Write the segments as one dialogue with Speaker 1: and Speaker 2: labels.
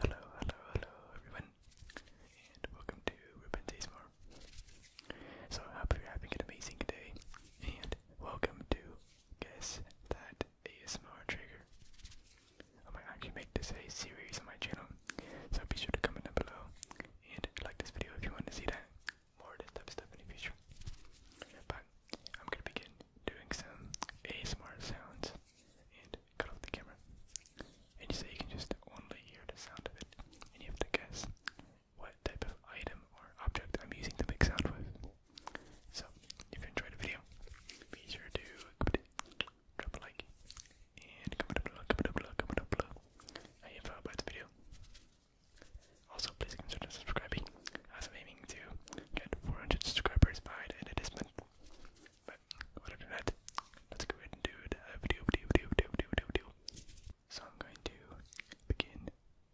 Speaker 1: Hello, hello, hello everyone, and welcome to Ruben Tasmore. So I hope you're having an amazing day, and welcome to Guess That favorite ASMR trigger. I might actually make this a series on my channel, so be sure to comment down below and like this video if you want to see that more of this stuff in the future. But I'm gonna begin doing some ASMR sounds and cut off the camera. And you say you can just only hear the sound of it, and you have to guess what type of item or object I'm using to make sound with. So, if you enjoyed the video, be sure to drop a like and comment down below, comment down below, comment down below how you felt the video. Also, please consider subscribing as I'm aiming to get 400 subscribers by the end of this month. But, whatever that, let's go ahead and do the So, I'm going to begin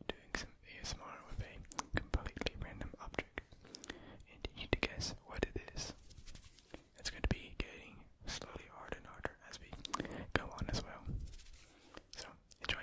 Speaker 1: doing some ASMR with a completely random object, and you need to guess what it is. It's going to be getting slowly harder and harder as we go on as well. So, enjoy.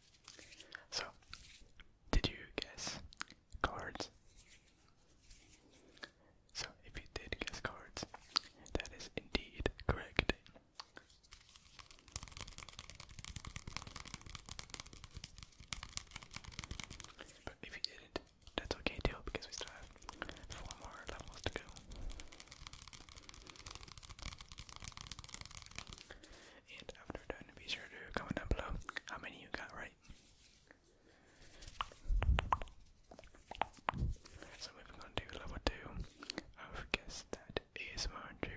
Speaker 1: So, did you guess cards? So, if you did guess cards, that is indeed correct. But if you didn't, that's okay too, because we still have four more levels to go. And after done, be sure to comment down below how many you got right. So moving on to level two of guess that is my trigger.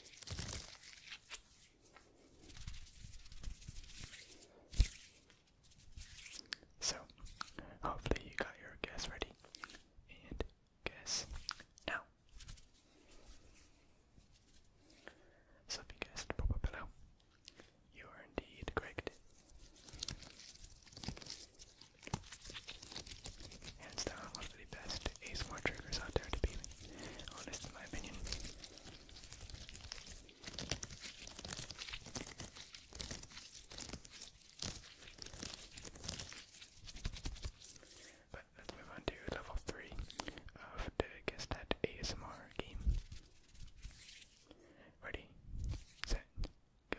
Speaker 1: So, hopefully, you got your guess ready and guess now. So, if you guessed Popopillo, you are indeed correct. Hands down, one of the best ASMR triggers out there to be honest in my opinion. But let's move on to level 3 of the Guess That ASMR game. Ready, set, go.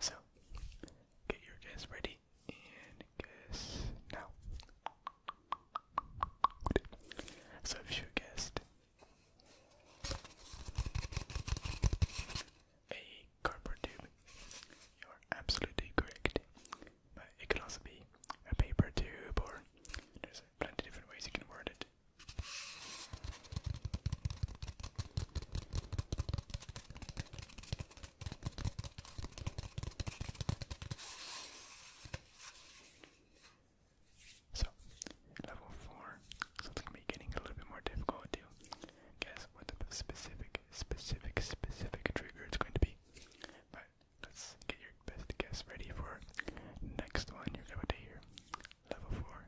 Speaker 1: So, get your guess ready and guess now. So, if you guessed a cardboard tube, you're absolutely correct. But it could also be a paper tube, or there's plenty different ways you can word it. So, level 4, something may be getting a little bit more difficult guess what the specific, specific, specific trigger it's going to be. But let's get your best guess ready for next one you're about to hear. Level 4.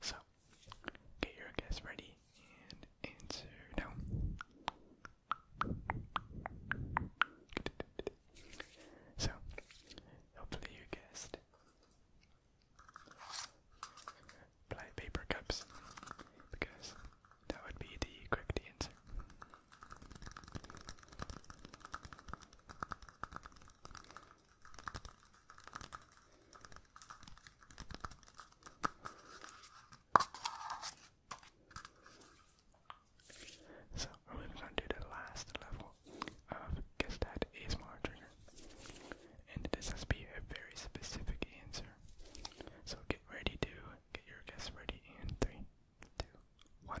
Speaker 1: So, get your guess ready and answer now. So, hopefully you guessed. Play paper cups, because that would be the correct answer. So we're moving on to the last level of guess that is my And this has to be a very specific answer. So get ready to get your guess ready in three, two, one.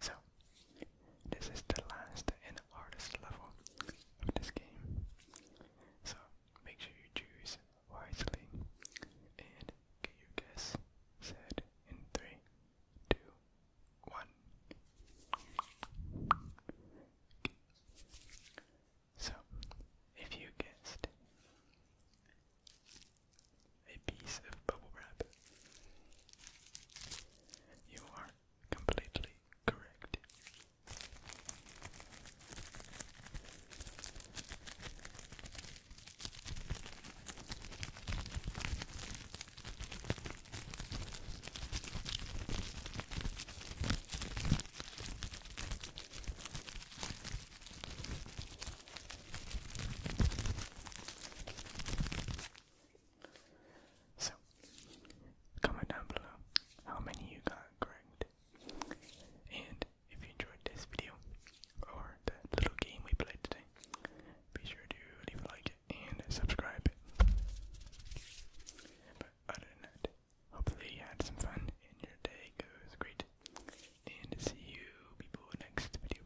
Speaker 1: So, this is the last and hardest level of this game. So, make sure you choose wisely you guess said in three, two, one. So, if you guessed a piece of bubble wrap, you are completely correct. So, comment down below how many you got correct. And if you enjoyed this video or the little game we played today, be sure to leave a like and subscribe. But other than that, hopefully you had some fun and your day goes great. And see you people next video.